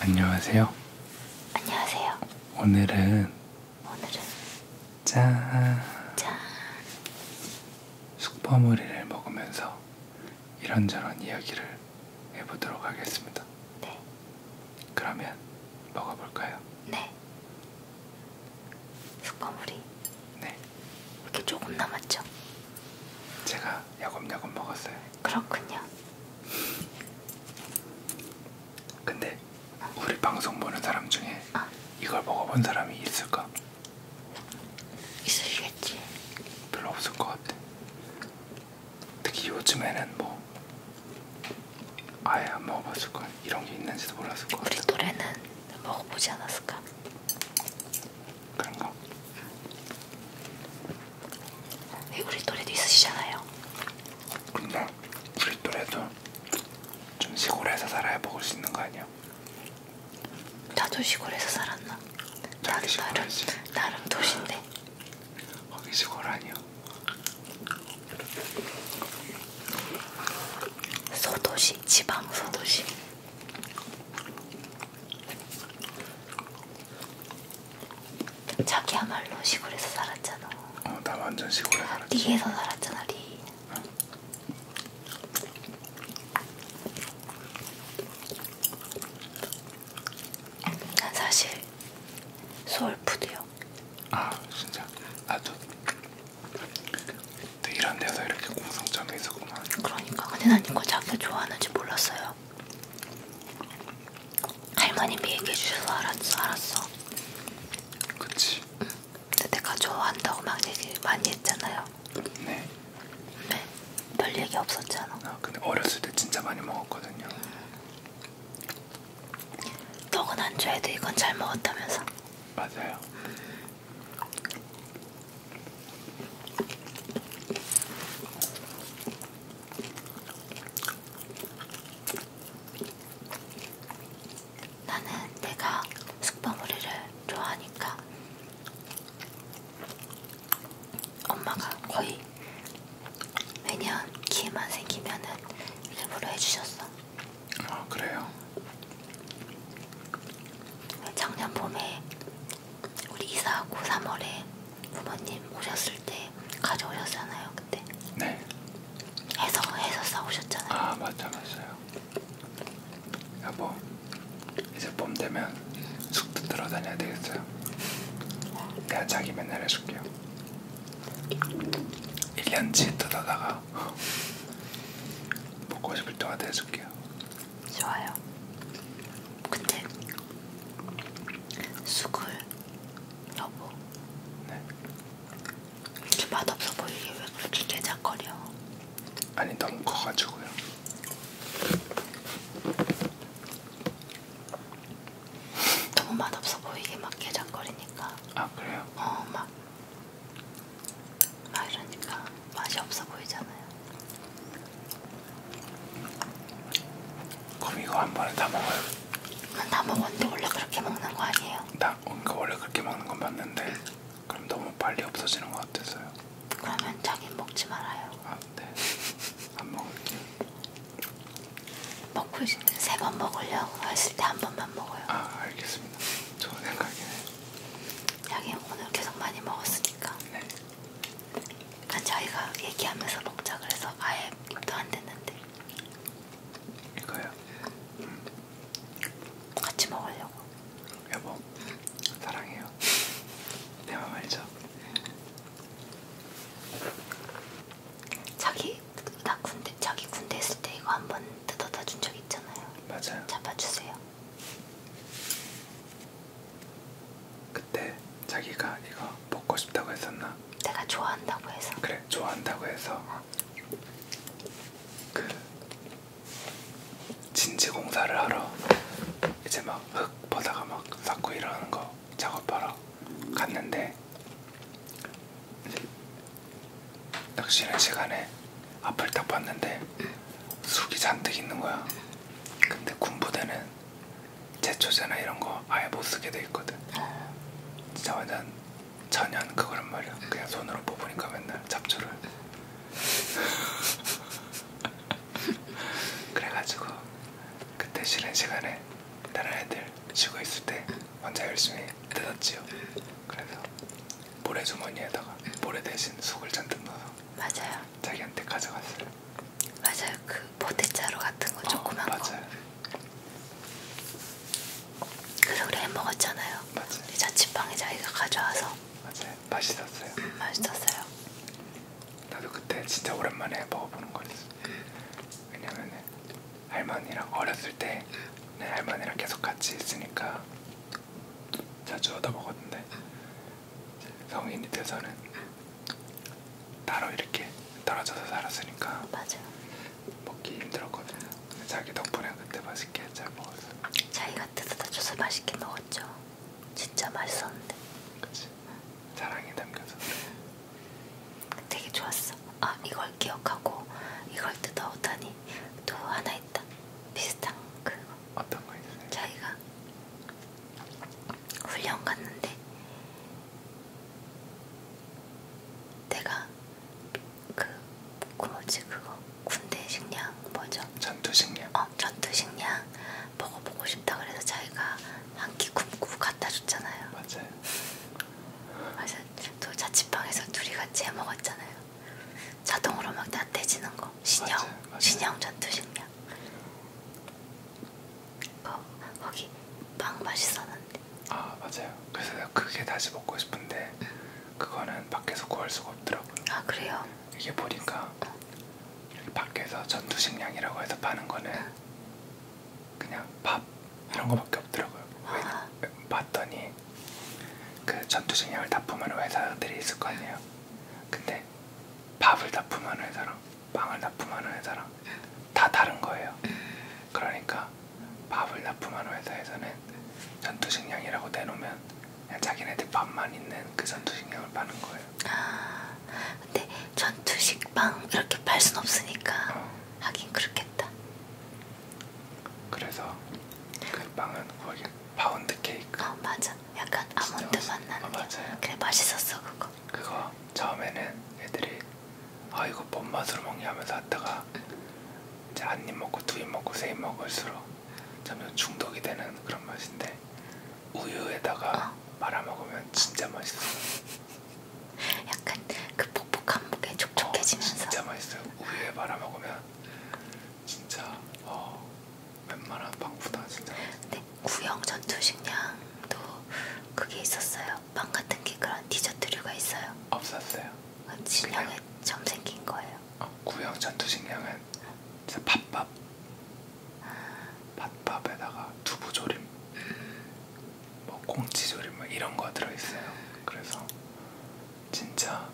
안녕하세요. 안녕하세요. 오늘은 오늘은 짠. 짠. 숙버무리를 먹으면서 이런저런 이야기를 해보도록 하겠습니다. 네. 그러면 먹어볼까요? 네. 숯버무리. 네. 이렇게 조금 네. 남았죠? 제가 야곱야곱 먹었어요. 그렇군요. 근데 어. 우리 방송 보는 사람 중에 아. 이걸 먹어본 사람이 있을까? 있으시겠지. 별로 없을 것 같아. 특히 요즘에는 뭐 아예 안 먹어봤을 걸 이런 게 있는지도 몰랐을 걸. 우리 노래는 먹어보지 않았을까? 그런가? 응. 우리 노래도 있으시잖아요. 근데 우리 노래도 좀 시골에서 살아야 먹을 수 있는 거 아니야? 나도 시골에서 살았나? 나도 나름 나름 도시인데. 거기서 고라니요. 소도시 지방 소도시. 자기야말로 시골에서 살았잖아. 어, 나 완전 시골에 살았지. 리에서 살았잖아, 리. 응. 난 사실 소울푸드요. 아 진짜? 나도 또 이런 데서 이렇게 공통점이 있었구만. 그러니까 근데 난 이거 자기 좋아하는지 몰랐어요. 할머님이 얘기해 주셔서 알았어. 알았어. 그치. 응. 근데 내가 좋아한다고 막 얘기 많이 했잖아요. 네. 네. 별 얘기 없었잖아. 아, 근데 어렸을 때 진짜 많이 먹었거든요. 떡은 안 좋아해도 이건 잘 먹었다면서? 맞아요. 나는 내가 숙버무리를 좋아하니까 엄마가 거의 매년 기회만 생기면은 일부러 해주셨어. 아 그래요? 작년 봄에 우리 이사하고 3월에 부모님 오셨을 때 가져오셨잖아요 그때. 네. 해서 해서 싸우셨잖아요. 아 맞다 맞아요. 여보 이제 봄 되면 숙도 들어다녀야 되겠어요. 내가 자기 맨날 해줄게요. 1년치 뜯어다가 먹고 싶을 때마다 해줄게요. 좋아요. 근데 숙을 여보. 네. 이렇게 맛없어 보이게 왜 그렇게 깨작거려? 아니 너무 커가지고요. 너무 맛없어 보이게 막 깨작거리니까. 아 그래요? 어 막. 막 이러니까 맛이 없어 보이잖아요. 그럼 이거 한 번에 다 먹어요? 난다 먹었는데 원래 그렇게 먹는 거 아니에요? 나 그러니까 원래 그렇게 먹는 건 맞는데 그럼 너무 빨리 없어지는 것 같아서요. 그러면 자기 먹지 말아요. 아 먹는데 안 먹을게. 먹고 싶은 세번 먹으려고 했을 때 한 번만 먹어요. 아 알겠습니다. 좋은 생각이네. 하긴 오늘 계속 많이 먹었으니까. 네. 그러니까 저희가 얘기하면서 먹자 그래서 아예 입도 안 됐는데. 이거요? 음. 같이 먹으려고. 여보, 사랑해요. 대만 말죠. 자기 나 군대 자기 군대 있을 때 이거 한 번 뜯어다 준 적 있잖아요. 맞아요. 잡아주세요. 그때 자기가 이거 먹고 싶다고 했었나? 내가 좋아한다고 해서. 그래 좋아한다고 해서 어. 그 진지 공사를 하러 이제 막 흙 보다가 막 쌓고 이러는 거 작업하러 갔는데 낚시는 시간에 앞을 딱 봤는데 숙이 잔뜩 있는 거야. 근데 군부대는 제초제나 이런 거 아예 못 쓰게 돼 있거든. 진짜 완전 천연 그거란 말이야. 그냥 손으로 뽑으니까 맨날 잡초를. 그래가지고 그때 쉬는 시간에 다른 애들 쉬고 있을 때 혼자 열심히 뜯었지요. 그래서 모래 주머니에다가 모래 대신 속을 잔뜩 넣어서 맞아요. 자기한테 가져갔어요. 맞아요. 그 보대자루 같은 거 어, 조그만 맞아요. 거. 그래서 우리 해 먹었잖아요. 맞아요. 우리 자취방에 자기가 가져와서. 맞아요. 맛있었어요. 맛있었어요. 나도 그때 진짜 오랜만에 먹어보는 거니 왜냐면 할머니랑 어렸을 때내 할머니랑 계속 같이 있으니까 자주 얻어 먹었는데 성인이 돼서는 따로 이렇게 떨어져서 살았으니까 아, 맞아. 먹기 힘들었거든요. 자기 덕분에 그때 맛있게 잘 먹었어. 자기 같아서 다 줘서 맛있게 먹었죠. 진짜 맛있었는데. 그치. 자랑이 담겨서. 되게 좋았어. 아 이걸 기억하고 이걸 뜯어오다니 또 하나 있다. 비슷한 그거. 어떤 거 있어요? 자기가 훈련 갔는데 내가 그 뭐지 그거 군대 식량 뭐죠? 전투 식량. 어 전투 식량. 먹어보고 싶다 그래서 자기가 한 끼 굶고 갖다 줬잖아요. 맞아요. 맞아. 또 자취방에서 둘이 같이 해 먹었잖아요. 자동으로 막 나태지는 거. 신형, 맞아요. 맞아요. 신형 전투 식량. 거, 거기 빵 맛있었는데. 아 맞아요. 그래서 그게 다시 먹고 싶은데 그거는 밖에서 구할 수가 없더라고요. 아 그래요? 이게 보니까 여기 밖에서 전투식량이라고 해서 파는 거는 그냥 밥 이런 거밖에 없더라고요. 왜, 봤더니 그 전투식량을 납품하는 회사들이 있을 거 아니에요. 근데 밥을 납품하는 회사랑 빵을 납품하는 회사랑 다 다른 거예요. 그러니까 밥을 납품하는 회사에서는 전투식량이라고 내놓으면 그냥 자기네들 밥만 있는 그 전투식량을 파는 거예요. 아, 근데 전투식빵 이렇게 팔 순 없으니까 어. 하긴 그렇겠다. 그래서 그 빵은 거기 파운드 케이크. 어 맞아. 약간 아몬드 맛있... 맛 나는. 어, 맞아요. 그래 맛있었어 그거. 그거 처음에는 애들이 아 이거 뭔 맛으로 먹냐면서 하다가 이제 한 입 먹고 두 입 먹고 세 입 먹을수록 점점 중독이 되는 그런 맛인데 우유에다가 어. 말아먹으면 진짜 맛있어. 약간 그 퍽퍽한 무게 촉촉해지면서. 어, 진짜 맛있어요. 우유에 말아먹으면 진짜 어, 웬만한 빵보다 진짜. 근데 네, 구형 전투식량도 그게 있었어요. 빵 같은 게 그런 디저트류가 있어요. 없었어요. 아, 진영에 점 생긴 거예요. 어, 구형 전투식량은 진짜 밥밥 밭밥에다가 두부조림, 뭐 꽁치조림 뭐 이런 거 들어있어요. 그래서 진짜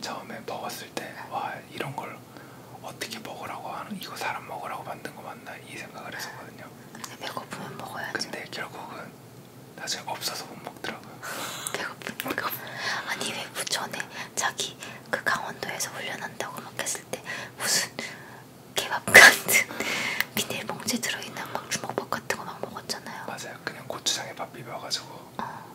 처음에 먹었을 때 와 이런 걸 어떻게 먹으라고 하는 이거 사람 먹으라고 만든 거 맞나 이 생각을 했었거든요. 근데 배고프면 먹어야죠. 근데 결국은 나중에 없어서 못 먹더라고요. 배고프니까 아니 왜 뭐 전에 자기 그 강원도에서 훈련한다고 막 했을 때 무슨 개밥 같은 비닐봉지 들어있는 막 주먹밥 같은 거 막 먹었잖아요. 맞아요. 그냥 고추장에 밥 비벼가지고 어.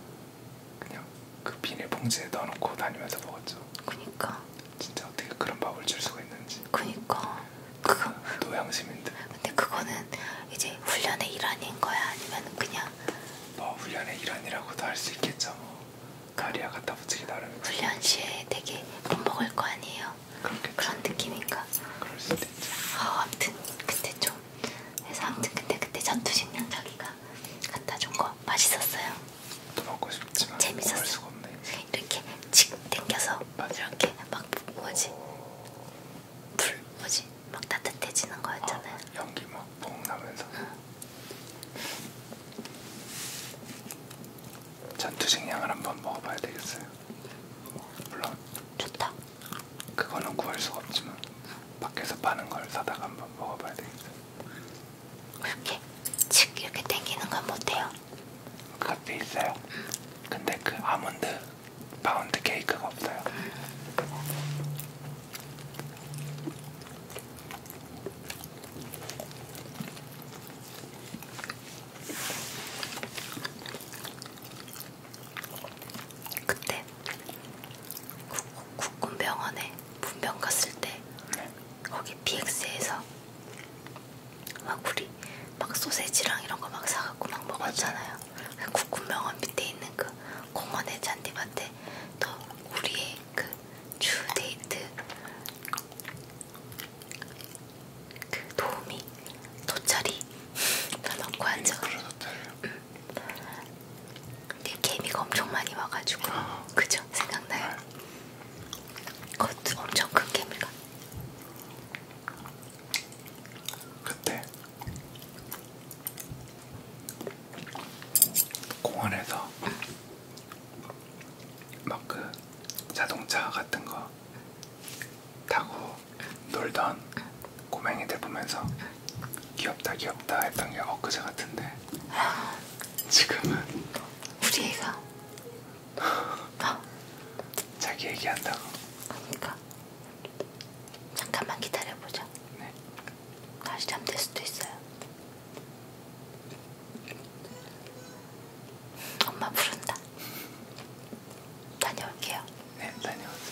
그냥 그 비닐봉지에 넣어놓고 다니면서 먹었죠. 그니까. 진짜 어떻게 그런 밥을 줄 수가 있는지. 그니까. 그거 그러니까 노양심인데. 근데 그거는 이제 훈련의 일환인 거야 아니면 그냥? 뭐 훈련의 일환이라고도 할 수 있겠죠. 뭐. 카리아 갖다 붙이기 나름. 훈련 시에 되게 못 먹을 거 아니에요. 그렇겠지. 그런 느낌인가. 그럴 수도 있지. 아, 아무튼 그때 좀 해서 아무튼 근데 그때 전투식량 자기가 갖다 준 거 맛있었어요. 또 먹고 싶지만 재밌었어. 수가 없네. 이렇게 칙 당겨서 맞아. 이렇게 막 뭐지 불 뭐지 막 따뜻해지는 아, 거였잖아요. 어, 연기 막퐁 나면서. 응. 전투식량을 한번 먹어봐야 되겠어요. 물론 좋다. 그거는 구할 수가 없지만 밖에서 파는 걸 사다가 한번 먹어봐야 되겠어요. 이렇게 칙 이렇게 당기는 건 못해요. 그것도 있어요. 근데 그 아몬드 파운드 케이크가 없어요. 음. 그때 국군병원에 분병 갔을 때 네. 거기 BX에서 막 우리 막 소세지랑 이런 거 막 사갖고 막 먹었잖아요. 국군병원 밑에 있는 그 공원의 잔디밭에 또 우리의 그 주데이트 그 도우미 돗자리 다 넣고 앉아 응. 근데 개미가 엄청 많이 와가지고 아. 그죠? 생각나요? 네. 그것도 엄청 큰 개미가 그때 공원에서 응. 음. 막그 자동차 같은 거 타고 놀던 고맹이들 보면서 귀엽다 귀엽다 했던 게 엊그제 같은데 지금은 우리 애가 자기 얘기한다고 그러니까 잠깐만 기다려보자 네. 다시 잠들 수도 있어요 엄마 부른다. 다녀올게요. 네, 다녀오세요.